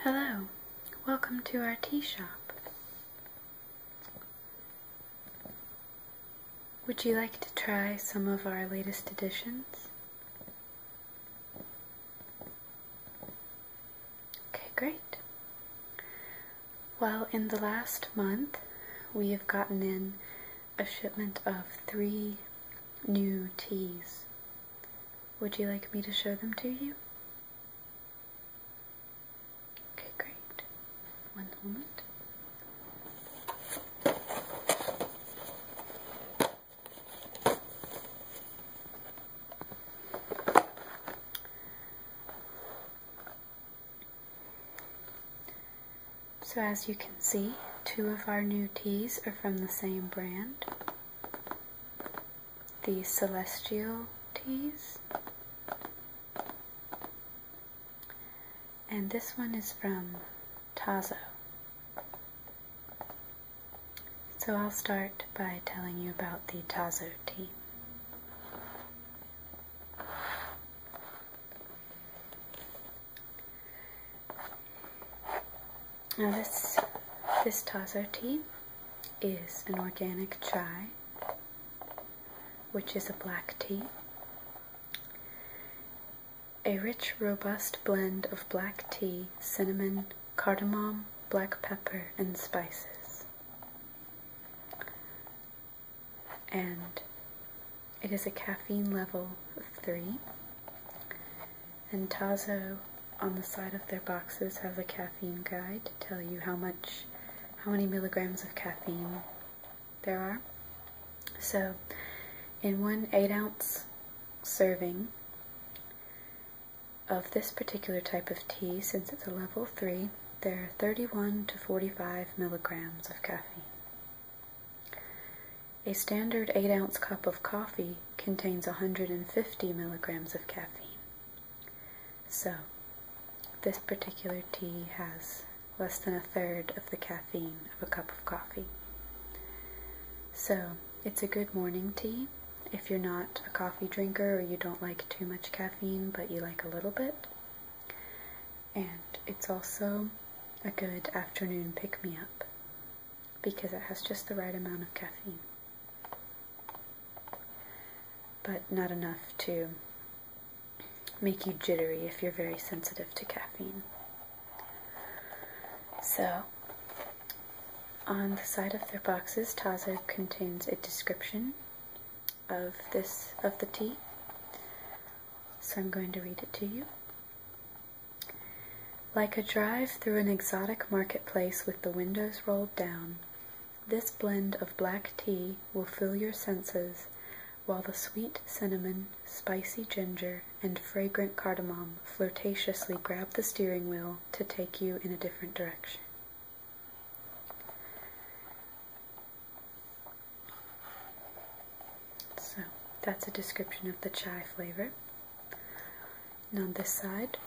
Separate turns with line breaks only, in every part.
Hello, welcome to our tea shop. Would you like to try some of our latest additions? Okay, great. Well, in the last month, we have gotten in a shipment of three new teas would you like me to show them to you? Okay, great. One moment. So as you can see, two of our new teas are from the same brand the Celestial teas. And this one is from Tazo. So I'll start by telling you about the Tazo tea. Now this this Tazo tea is an organic chai, which is a black tea. A rich, robust blend of black tea, cinnamon, cardamom, black pepper, and spices. And it is a caffeine level of 3. And Tazo, on the side of their boxes, has a caffeine guide to tell you how much, how many milligrams of caffeine there are. So, in one 8 ounce serving of this particular type of tea, since it's a level 3, there are 31 to 45 milligrams of caffeine. A standard 8 ounce cup of coffee contains 150 milligrams of caffeine. So, this particular tea has less than a third of the caffeine of a cup of coffee. So, it's a good morning tea if you're not a coffee drinker or you don't like too much caffeine but you like a little bit and it's also a good afternoon pick me up because it has just the right amount of caffeine, but not enough to make you jittery if you're very sensitive to caffeine. So, on the side of their boxes, Tazo contains a description of this of the tea. So I'm going to read it to you. Like a drive through an exotic marketplace with the windows rolled down, this blend of black tea will fill your senses, while the sweet cinnamon, spicy ginger, and fragrant cardamom flirtatiously grab the steering wheel to take you in a different direction. So that's a description of the chai flavor. And on this side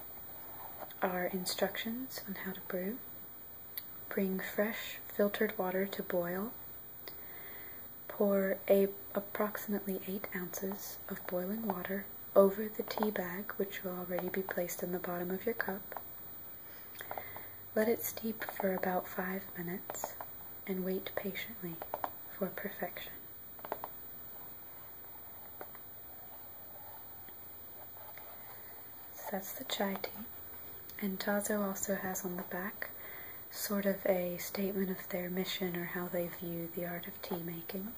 are instructions on how to brew. Bring fresh filtered water to boil. Pour a, approximately 8 ounces of boiling water over the tea bag, which will already be placed in the bottom of your cup. Let it steep for about five minutes and wait patiently for perfection. that's the chai tea. And Tazo also has on the back sort of a statement of their mission or how they view the art of tea making.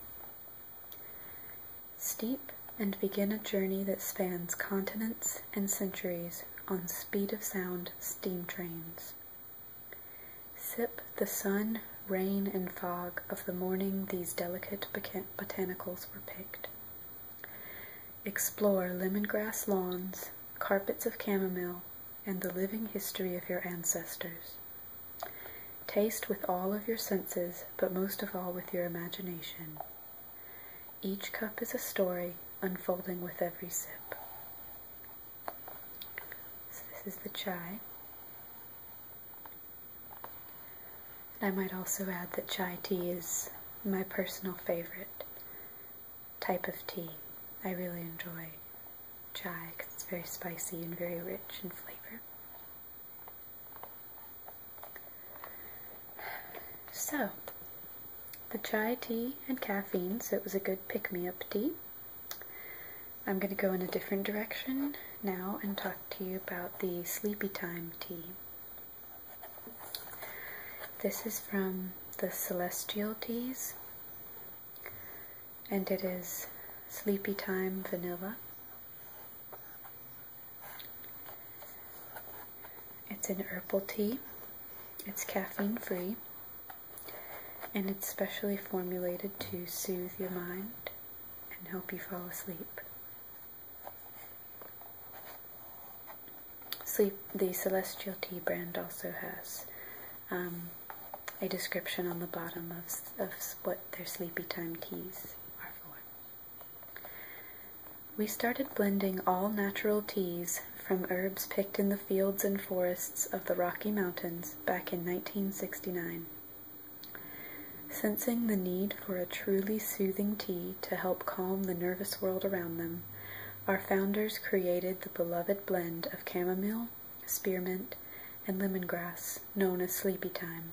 Steep and begin a journey that spans continents and centuries on speed of sound steam trains. Sip the sun, rain, and fog of the morning these delicate botanicals were picked. Explore lemongrass lawns, carpets of chamomile, and the living history of your ancestors. Taste with all of your senses, but most of all with your imagination. Each cup is a story unfolding with every sip. So, this is the chai. And I might also add that chai tea is my personal favorite type of tea. I really enjoy chai because it's very spicy and very rich in flavor. So, the chai tea and caffeine, so it was a good pick me up tea. I'm going to go in a different direction now and talk to you about the sleepy time tea. This is from the Celestial Teas, and it is Sleepy Time Vanilla. It's an herbal tea. It's caffeine free. And it's specially formulated to soothe your mind and help you fall asleep. Sleep, the Celestial Tea brand also has um, a description on the bottom of what their sleepy time teas are for. We started blending all natural teas from herbs picked in the fields and forests of the Rocky Mountains back in 1969. Sensing the need for a truly soothing tea to help calm the nervous world around them, our founders created the beloved blend of chamomile, spearmint, and lemongrass known as Sleepy Time.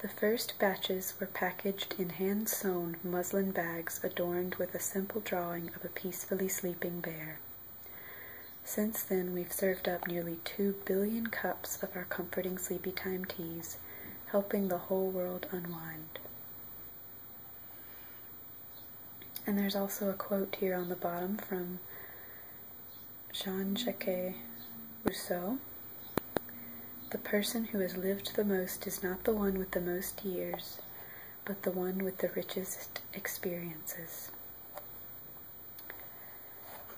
The first batches were packaged in hand-sewn muslin bags adorned with a simple drawing of a peacefully sleeping bear. Since then, we've served up nearly 2 billion cups of our comforting sleepy time teas, helping the whole world unwind. And there's also a quote here on the bottom from Jean Jacques Rousseau. The person who has lived the most is not the one with the most years, but the one with the richest experiences.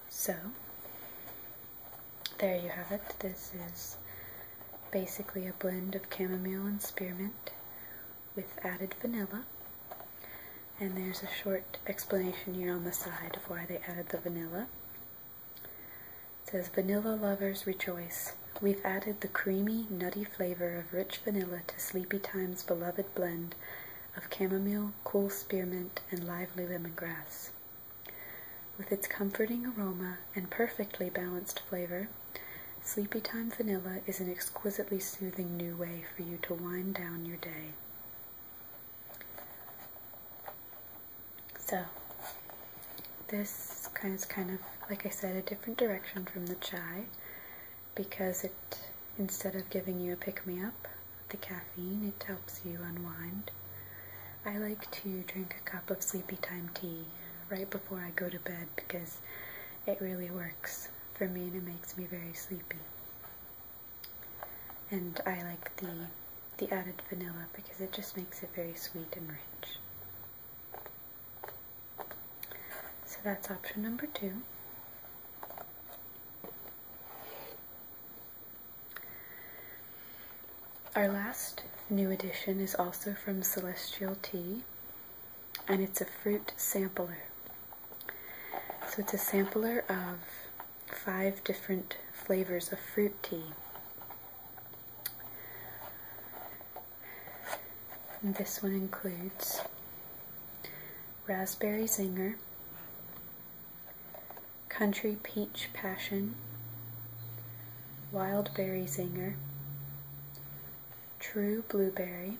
So, there you have it. This is basically a blend of chamomile and spearmint with added vanilla. And there's a short explanation here on the side of why they added the vanilla says vanilla lovers rejoice. We've added the creamy, nutty flavor of rich vanilla to Sleepy Time's beloved blend of chamomile, cool spearmint, and lively lemongrass. With its comforting aroma and perfectly balanced flavor, Sleepy Time Vanilla is an exquisitely soothing new way for you to wind down your day. So this kind is kind of, like I said, a different direction from the chai because it, instead of giving you a pick-me-up, the caffeine, it helps you unwind. I like to drink a cup of sleepy time tea right before I go to bed because it really works for me and it makes me very sleepy. And I like the the added vanilla because it just makes it very sweet and rich. So that's option number two. Our last new addition is also from Celestial Tea, and it's a fruit sampler. So it's a sampler of five different flavors of fruit tea. this one includes raspberry zinger, country peach passion, wild berry zinger, true blueberry,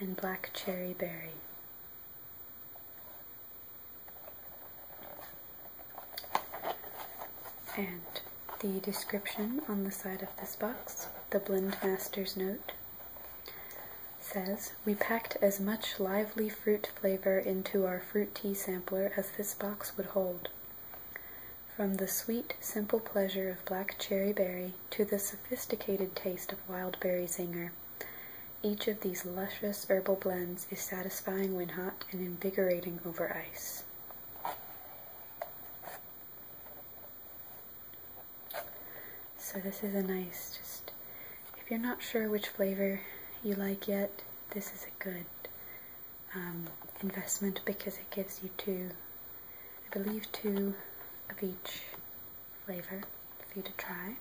and black cherry berry. And the description on the side of this box, the blend master's note, says We packed as much lively fruit flavor into our fruit tea sampler as this box would hold. From the sweet, simple pleasure of black cherry berry to the sophisticated taste of wild berry zinger. Each of these luscious herbal blends is satisfying when hot and invigorating over ice. So, this is a nice, just if you're not sure which flavor you like yet, this is a good um, investment because it gives you two, I believe, two of each flavor for you to try.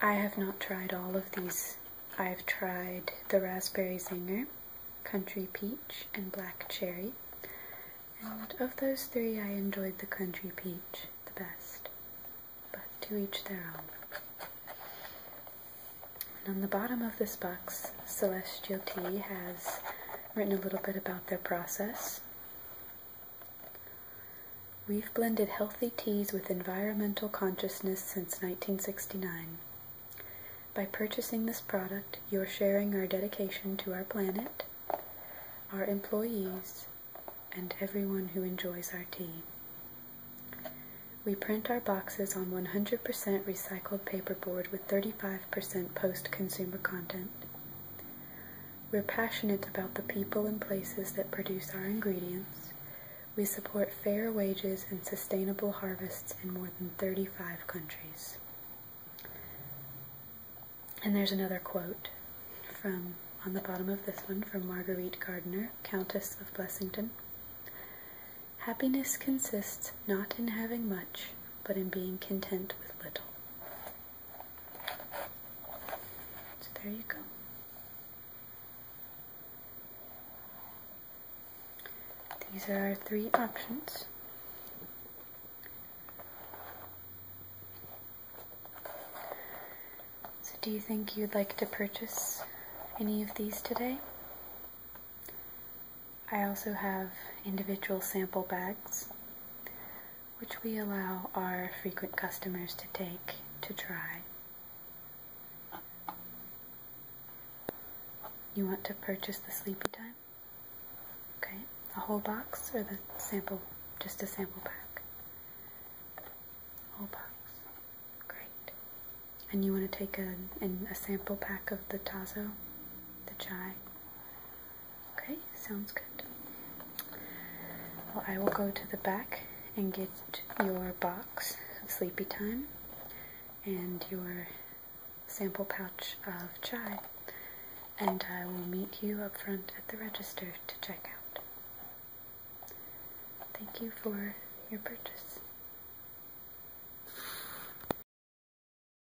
I have not tried all of these. I've tried the raspberry zinger, country peach, and black cherry. And of those three, I enjoyed the country peach the best. But to each their own. And on the bottom of this box, Celestial Tea has written a little bit about their process We've blended healthy teas with environmental consciousness since 1969. By purchasing this product, you're sharing our dedication to our planet, our employees, and everyone who enjoys our tea. We print our boxes on 100% recycled paperboard with 35% post consumer content. We're passionate about the people and places that produce our ingredients. We support fair wages and sustainable harvests in more than 35 countries. And there's another quote from on the bottom of this one from Marguerite Gardner, Countess of Blessington. Happiness consists not in having much, but in being content with little. So there you go. These are our three options. So do you think you'd like to purchase any of these today? I also have individual sample bags, which we allow our frequent customers to take to try. You want to purchase the sleepy time? Okay, the whole box or the sample, just a sample pack? Whole box. Great. And you want to take a, an, a sample pack of the tazo, the chai? Okay, sounds good. Well, I will go to the back and get your box of Sleepy Time and your sample pouch of chai, and I will meet you up front at the register to check out. Thank you for your purchase.